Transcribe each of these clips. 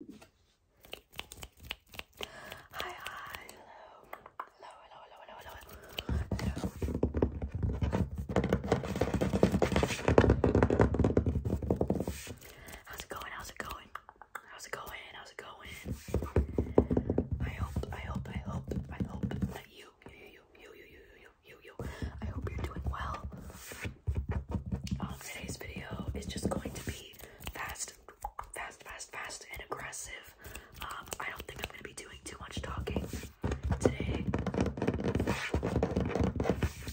How's it going? How's it going? How's it going? How's it going? I hope, I hope, I hope, I hope that you, you, you, you, you, you, you, you, you, I hope you're doing well. today's video is just going to be fast, fast, fast, fast, and aggressive. Um, I don't think I'm going to be doing too much talking today.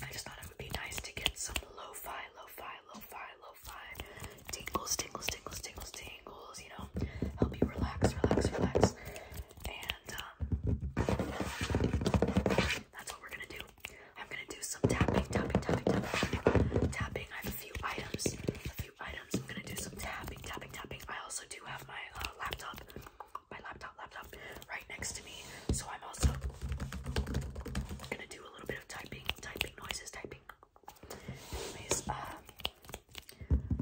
I just thought it would be nice to get some lo-fi, lo-fi, lo-fi, lo-fi tingles, tingles, tingles, tingles, tingles, you know, help you relax, relax, relax. And um, that's what we're going to do. I'm gonna do some tapping, tapping, tapping, tapping, tapping. I have a few items, a few items. I'm gonna do some tapping, tapping, tapping. I also do have my uh, laptop, my laptop, laptop, right next to me. So I'm also gonna do a little bit of typing, typing noises, typing. Anyways, um,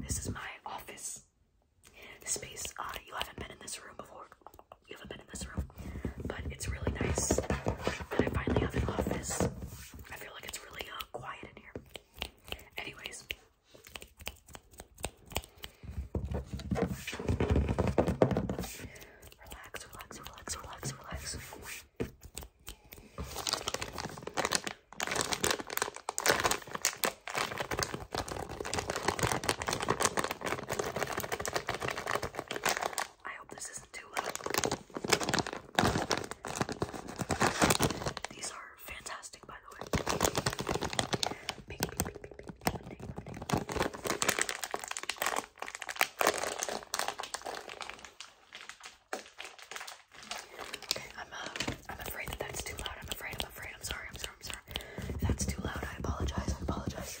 this is my office space. Uh, you haven't been in this room before. You haven't been in this room but it's really nice and I finally have an office. I feel like it's really uh, quiet in here. Anyways. Relax, relax, relax, relax, relax. I hope this isn't too loud. These are fantastic, by the way. Big, big, big, big, Okay, I'm, uh, I'm afraid that that's too loud. I'm afraid, I'm afraid. I'm sorry, I'm sorry, I'm sorry. that's too loud, I apologize, I apologize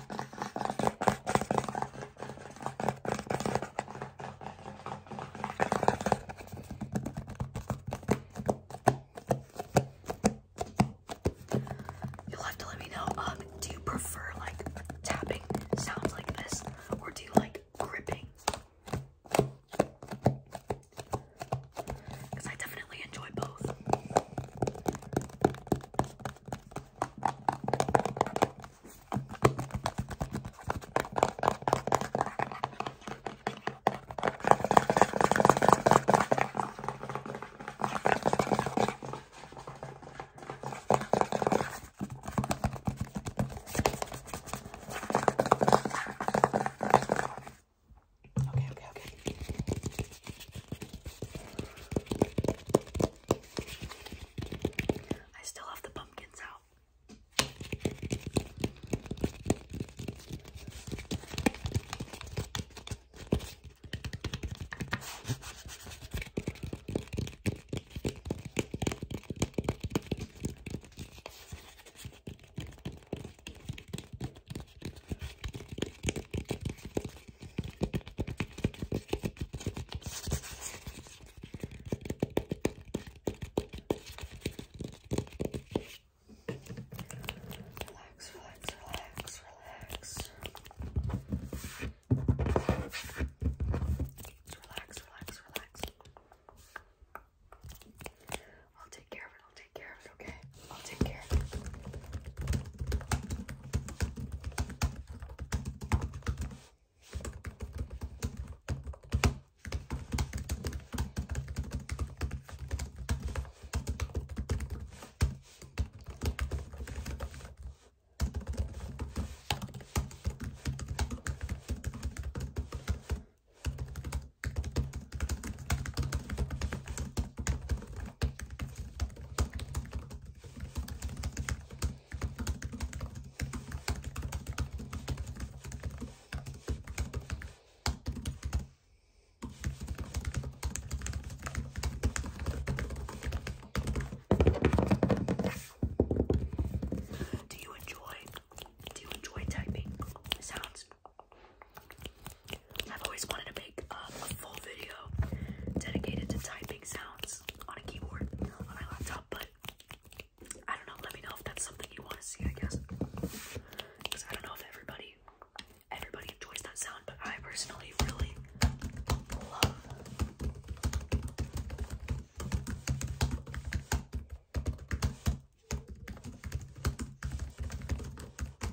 You'll have to let me know. Um, do you prefer like tapping sounds like this, or do you like gripping? Because I definitely I really enjoy both. Okay, okay, okay. I still have the pumpkins out. Relax, relax, relax, relax. Relax, relax, relax. I'll take care of it. I'll take care okay? I'll take care do you enjoy do you enjoy typing sounds? I've always wanted to make um, a full video dedicated to typing sounds on a keyboard on my laptop, but I don't know. Let me know if that's something you want to see, I guess. Because I don't know if everybody everybody enjoys that sound, but I personally really love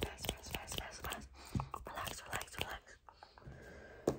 Fast, fast, fast, fast, fast. Relax, relax, relax.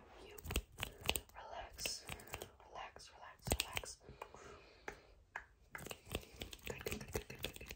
you, Relax, relax, relax, relax. good, good, good, good, good, good, good, good. Good,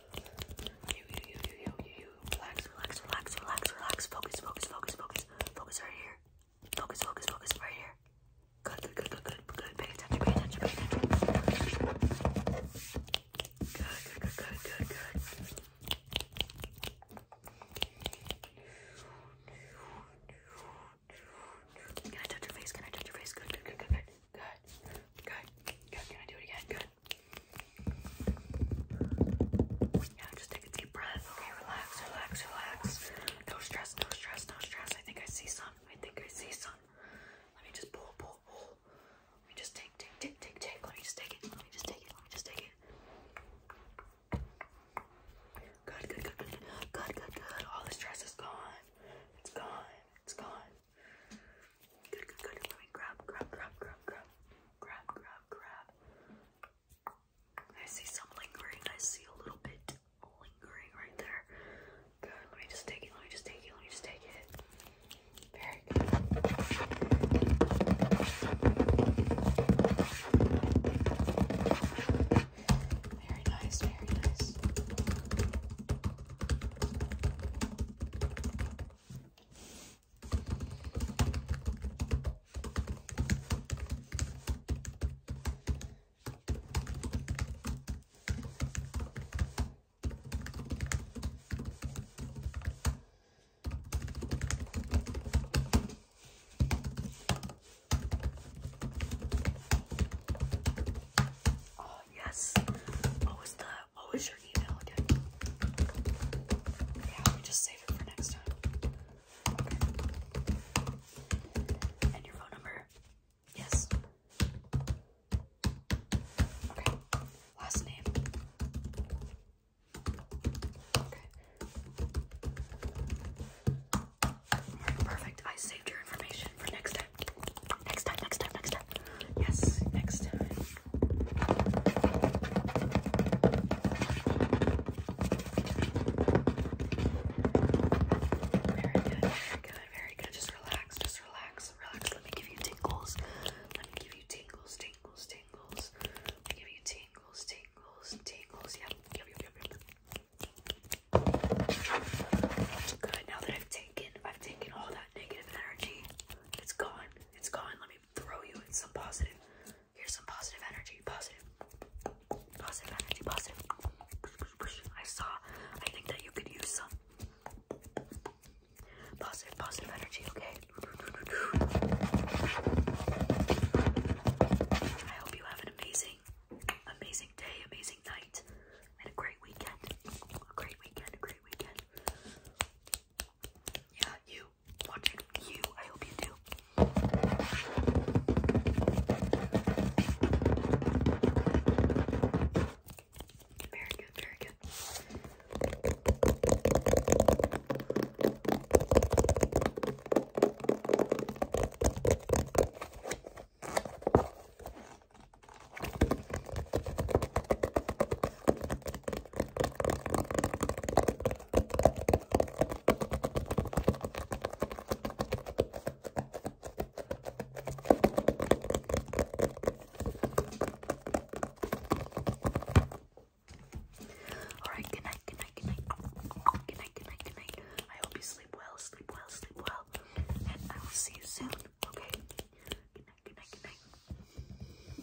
Relax, relax, relax, relax, relax. Focus, focus, focus, focus. Focus right here. Focus, focus, focus right here. Good, good, good, good, good, Pay attention, pay attention, pay attention. Good, good, good, good, good, good. Can I touch your face? Can I touch your face? good, good, good, good, good, good. Can I do it again? Good, yeah, just take a deep breath. Okay, relax, relax, relax. No stress, no stress, no stress. I think I see some. I think I see some. Let me just pull, pull, pull. Let me just take, take, take, take, take. Let me just take it. Let me just take it. Let me just take it. Good, good, good, good, good, good, good. All the stress is gone. It's gone. It's gone. Good, good, good. Let me grab, grab, grab, grab, grab, grab, grab, grab. I see some lingering. I see a little bit lingering right there. Good. Let me just take it. Let me just take it. Let me just take it. Very good. Very nice. Very nice. Oh yes, what the what was your email again? Yeah, we just save it for next time. And your phone number? Yes. Okay. Last name. Okay. perfect. I saved your information for next time. Next time, next time, next time. Yes, next time. Very good, very good, very good. Just relax, just relax, relax. Let me give you tingles. Let me give you tingles, tingles, tingles. Let me give you tingles, tingles, tingles. Yep, Good. Now that I've taken, I've taken all that negative energy. It's gone. It's gone. Let me throw you in some positive. Here's some positive energy. Positive. energy. Positive. I saw. I think that you could use some positive, positive energy. Okay. I hope you have an amazing, amazing day, amazing night, and a great weekend. A great weekend. A great weekend. Yeah, you. Watching you. I hope you do. Very good, very good. Alright, good night, good night, good night. Good night, good night, good night. I hope you sleep well, sleep well, sleep well. And I will see you soon. Okay? Good night, good night, good night.